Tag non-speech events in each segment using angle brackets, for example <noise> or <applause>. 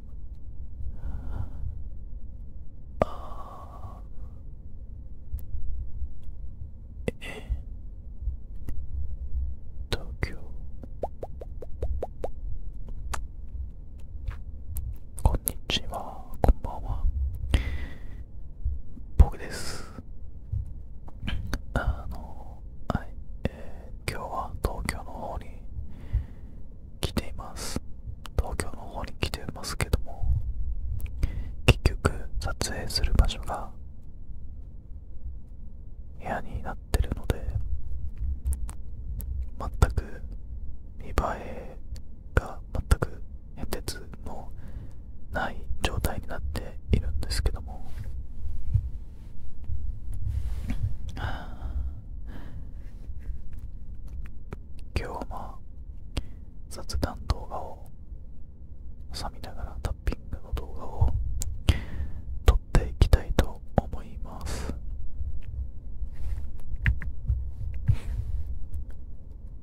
ああ。え東京こんにちはこんばんは僕ですあのはいえ今日は東京の方に来ています東京の方に来てますけども結局撮影する場所が部屋になってるので全く見栄えが全く変哲のない状態になっているんですけどもあ今日は雑談動画を挟みながらタッピングの動画を撮っていきたいと思います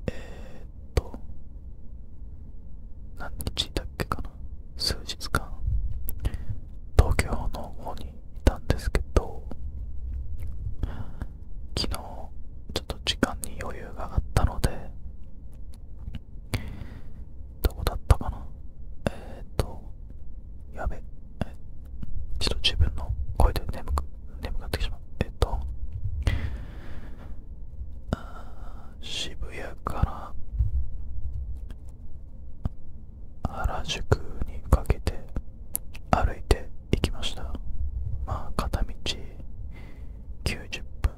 えー、っと何日だっけかな数日間東京の方にいたんですけど昨日ちょっと時間に余裕があったのでどこだったかなえっ、とやべえちょっと自分の声で眠く眠くなってきしまうえっ、と渋谷から原宿にかけて歩いていきましたまあ片道90分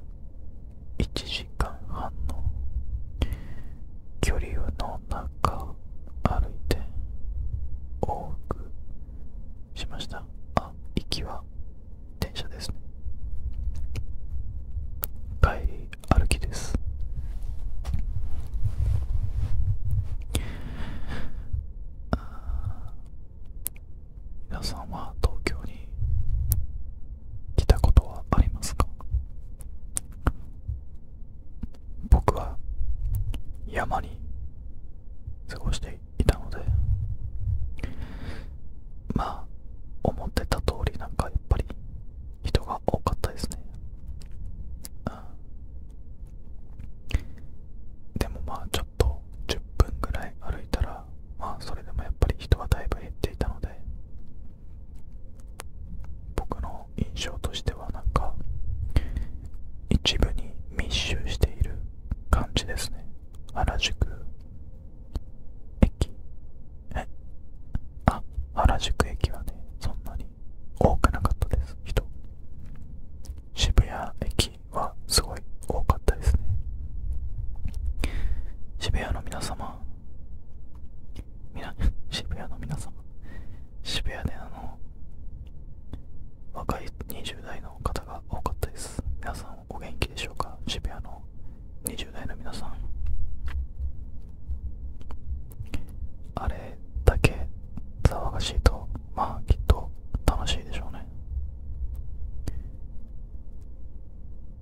1時間半の距離の中歩いて往復しましたあ行きは電車ですね歩きです皆さんは東京に来たことはありますか僕は山に過ごしていたのでまあ思ってた通りなんかやっぱり人が多かったですね、でもまあちょっと10分ぐらい歩いたらまあそれでもやっぱり人はだいぶ減っていたので僕の印象としてはなんか一部に密集している感じですね原宿駅えあ原宿駅はねそんなに多くなかったです人渋谷駅はすごい多かったですね渋谷の皆様渋谷の皆様渋谷であの若い20代の方が多かったです皆さんお元気でしょうか渋谷の20代の皆さんあれだけ騒がしいとまあきっと楽しいでしょうね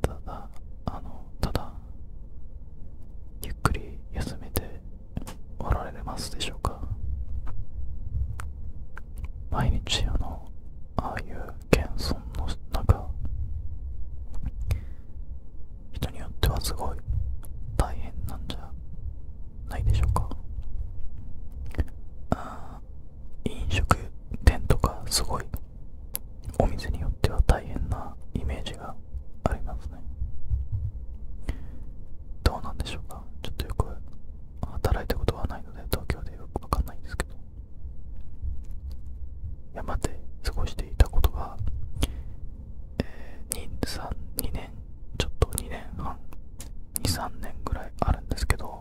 ただあのただゆっくり休めておられますでしょうか毎日あのああいう謙遜の中人によってはすごい大変なんじゃないでしょうかあ飲食店とかすごいお店によっては大変なイメージがありますねどうなんでしょうかちょっとよく働いたことはないので東京でよくわかんないんですけど山で過ごしていたことがえー、2, 2年ちょっと2年半23年ぐらいあるんですけど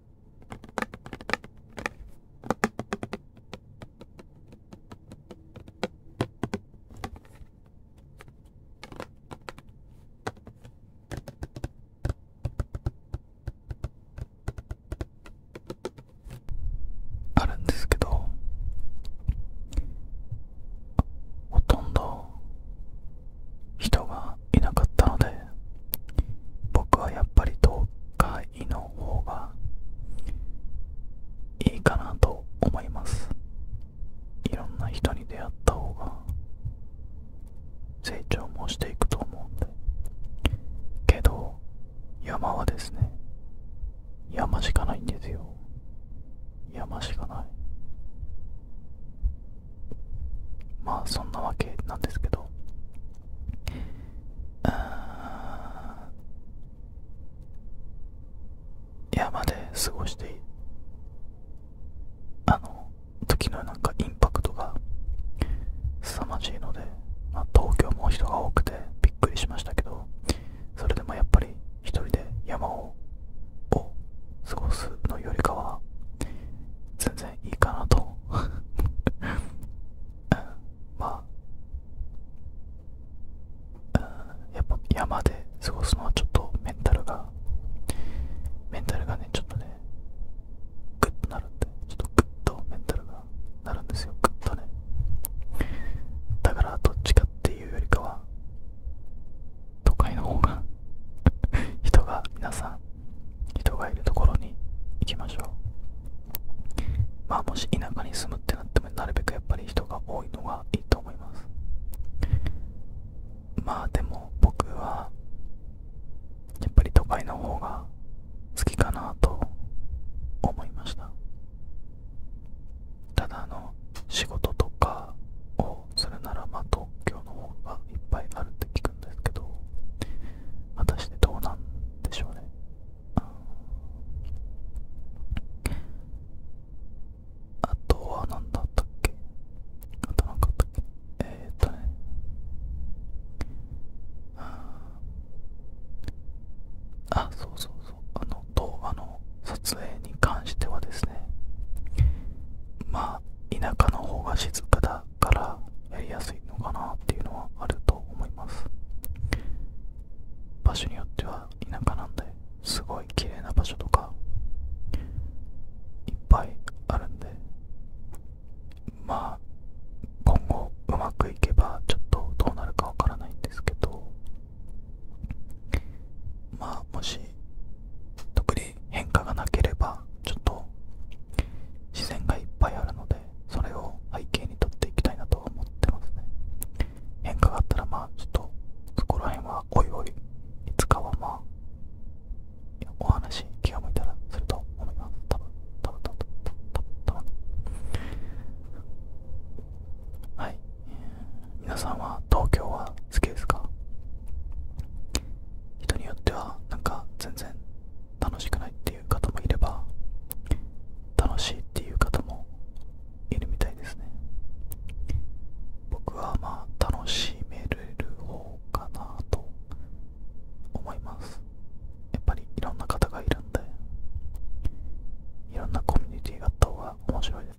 あるんですけどほとんど人がいなかったので僕はやっぱり東海の方がいいかなと思いますいろんな人に出会った方が成長もしていくと思うんでけど山はですね山しかないんですよ山しかないまあそんなわけなんですけど山で過ごしてあの時のなかインパクトが凄まじいので、東京も人が多くてびっくりしましたけどそれでもやっぱり一人で山を過ごすのよりかは全然。いいかなと <laughs> まあやっぱ山で過ごすのはちょっとメンタルがメンタルがねちょっとねグッとなるんでちょっとグッとメンタルがなるんですよグッとねだからどっちかっていうよりかは都会の方が人が皆さん人がいるところに行きましょうまあもし田舎に住むってなってもなるべくやっぱり人が多いのがいいと思いますまあでも僕はやっぱり都会の方が好きかなと思いましたただあの仕事とかをするならまあ東京の方がいっぱいあるって聞くですけど果たしてどうなんでしょうね、あとは何だったっけあと何かあったっけえっとねあそうそうそうあの動画の撮影に関してはですねまあ田舎の方が静かだからやりやすいのかなっていうのはあると思います場所によっては田舎なんですごい綺麗な場所とかいっぱいあるんでまあ今後うまくいけばちょっとどうなるかわからないんですけどまあもし特に変化がなければちょっと自然がいっぱいあるのでそれを背景にとっていきたいなと思ってますね変化があったらまあちょっとそこら辺はおいおいいつかはまあお話気を向いたらすると思います多分多分多分多分はい皆さんは東京は好きですか人によってはなんか全然楽しくないっていう方もいれば楽しいっていう方もいるみたいですね僕はまあ楽しめる方かなと思いますやっぱりいろんな方がいるんでいろんなコミュニティがあった方が面白いです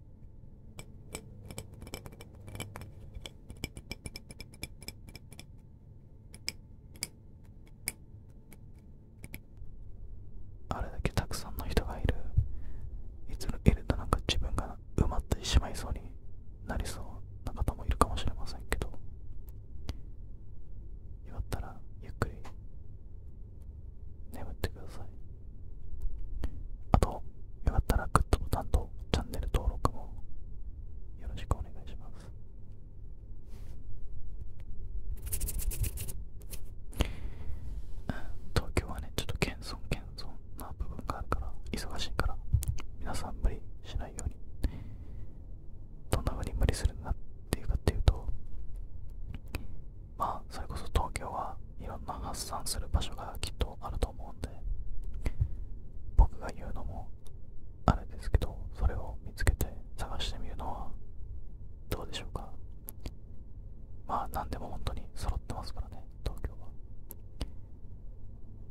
あれだけたくさんの人がいるいついるとなんか自分が埋まってしまいそうになりそうな方もいるかもしれませんけど祝ったらゆっくり眠ってくださいあと、よかったらグッドボタンとチャンネル登録もよろしくお願いします。東京はね、ちょっと謙遜謙遜な部分があるから、忙しいから、皆さん無理しないように。どんなふうに無理するんだっていうかっていうと、まあ、それこそ東京はいろんな発散する場所がきっとあると思うんで僕が言うのもあれですけどそれを見つけて探してみるのはどうでしょうかまあ何でも本当に揃ってますからね東京は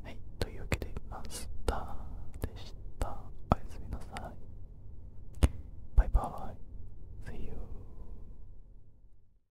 はいというわけでマスターでしたおやすみなさいバイバイ See you